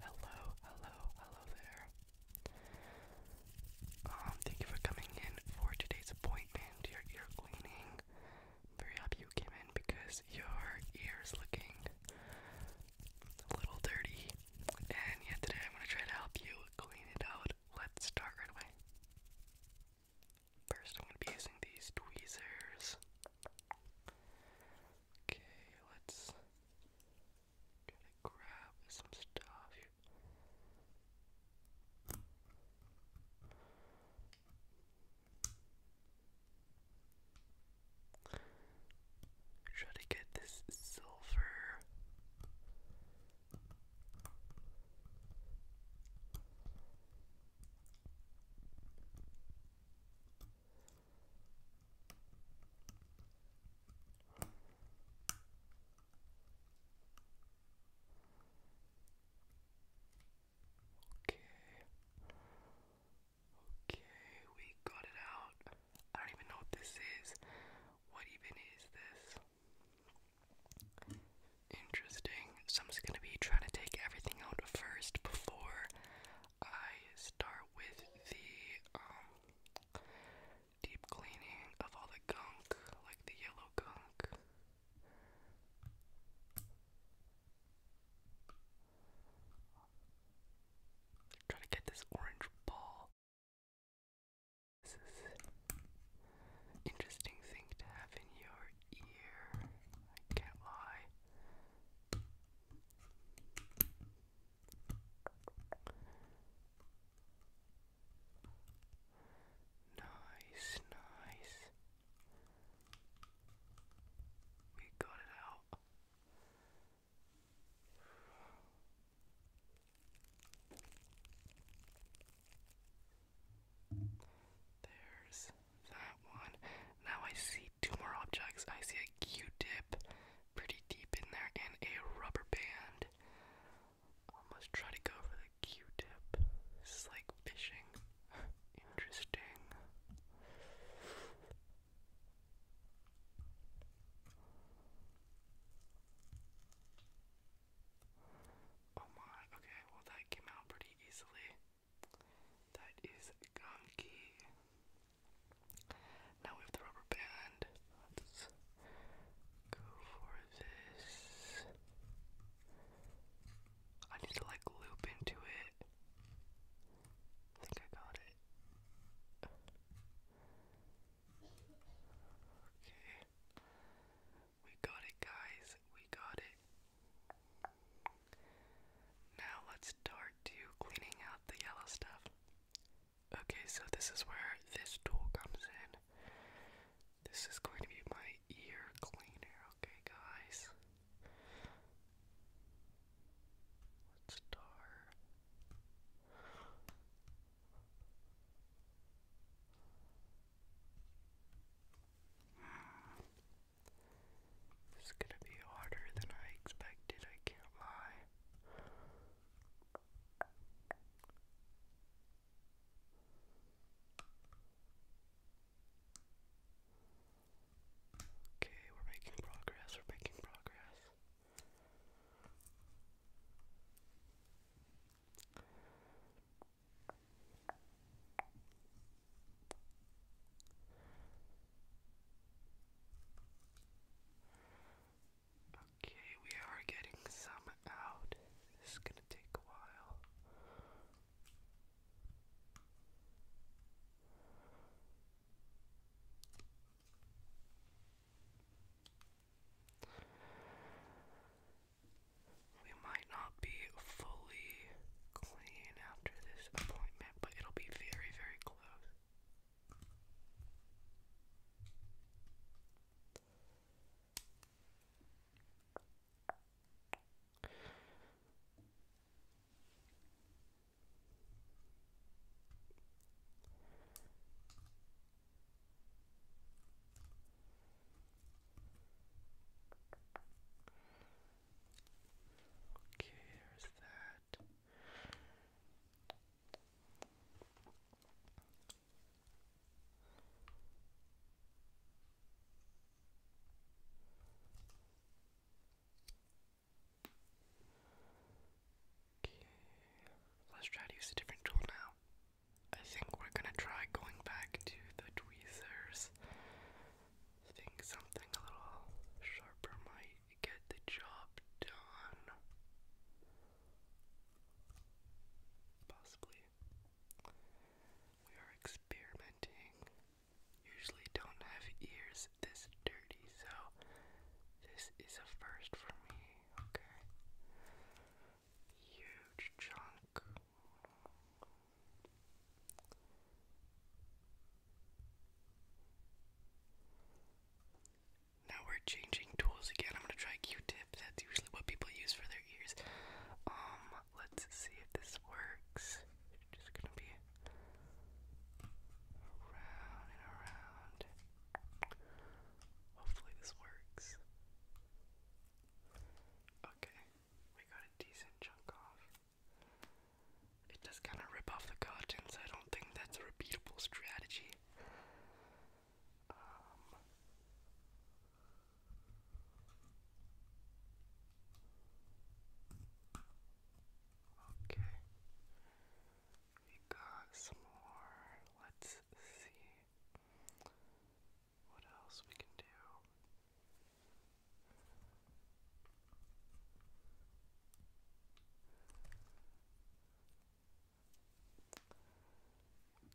Hello, hello, hello there. Um, thank you for coming in for today's appointment, your ear cleaning. very happy you came in because your ear is looking a little dirty. And yet today I'm gonna try to help you clean it out. Let's start right away. First, I'm gonna be using these tweezers. Okay, let's try to grab some stuff. Try to get this silver. Okay. Okay, we got it out. I don't even know what this is. What even is this? Interesting so I'm just gonna be trying to take everything out first before I start with the um, deep cleaning of all the gunk, like the yellow gunk. Try to get this orange ball. This is interesting thing to have in your ear. I can't lie. Nice, nice. We got it out. There's that one. Now I see two more objects. I see a Q-tip pretty deep in there and a rubber band. I must try to go for the Q-tip. This is like fishing. Interesting. Oh my, okay, well that came out pretty easily. That is gunky. Now we have the rubber band. Let's go for this. I need to like loop into it. I think I got it. Okay. We got it, guys. We got it. Now let's start to cleaning out the yellow stuff. Okay, so this is where this tool comes in. This is going to be my ear cleaner, okay, guys? Let's start. This is gonna be harder than I expected, I can't lie. Okay, we're making progress, we're making progress. Okay, we are getting some out. This is going to take a while. We might not be fully clean after this appointment, but it'll be very, very close. Okay, there's that let's try to use a different tool now. I think we're gonna try going back to the tweezers. I think something a little sharper might get the job done. Possibly. We are experimenting. Usually don't have ears this dirty, so this is a first for me, okay? Huge chunk. Now we're changing tools again. I'm gonna try Q-tip. That's usually what people use for their ears. Um, let's see if this works. Just gonna be Around and around. Hopefully this works. Okay, we got a decent chunk off. It does kind of rip off the cotton, I don't think that's a repeatable strategy. Um, Okay. We got some more. Let's see what else we can do.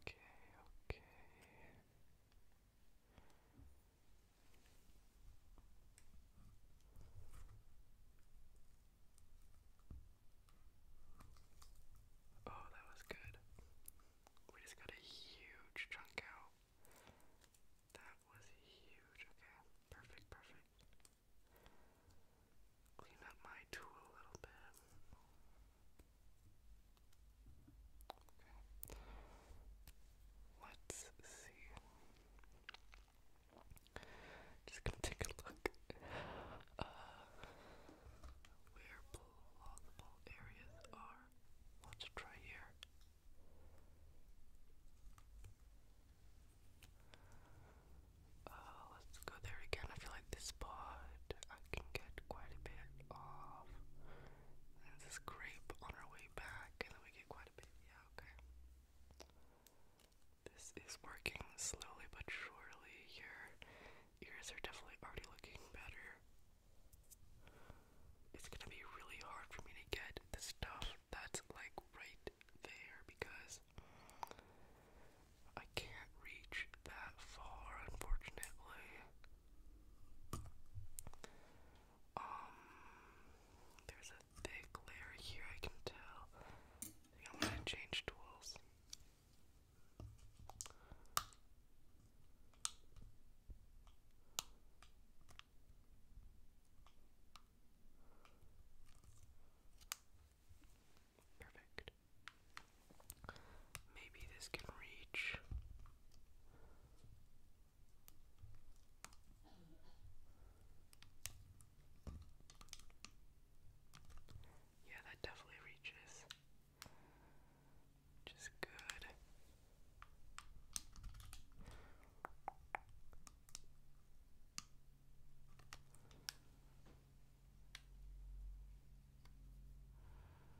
Okay, okay. Oh, that was good. We just got a huge chunk out. That was huge. Okay, perfect, perfect. Clean up my tool a little bit. Okay. Let's see. Just gonna take a look. Uh, where plausible areas are. Let's try here. Uh, let's go there again. I feel like this spot I can get quite a bit off. And this grape on our way back, and then we quite a bit. Yeah, okay. This is working slowly but surely. Your ears are definitely already looking better. It's gonna be really hard for me to get the stuff that's like right there because I can't reach that far, unfortunately. Um, there's a thick layer here, I can tell. I am gonna change tools. Perfect. Maybe this can reach. Yeah, that definitely reaches. Which good.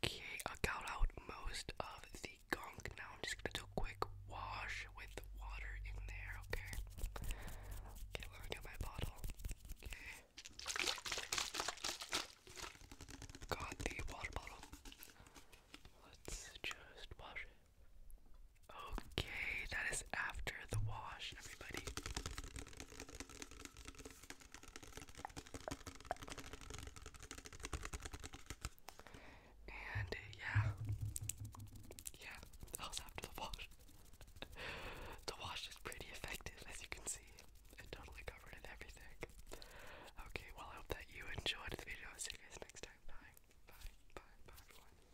Okay, I got out most of the gunk. Now I'm just gonna do a quick wash with the water in there, okay? Okay, let me get my bottle. Okay. Got the water bottle. Let's just wash it. Okay, that is after the wash, everybody. And uh, yeah, yeah, that was after the wash. the wash is pretty effective, as you can see. It totally covered in everything. Okay, well, I hope that you enjoyed the video. I'll see you guys next time. Bye, bye, bye, bye, everyone.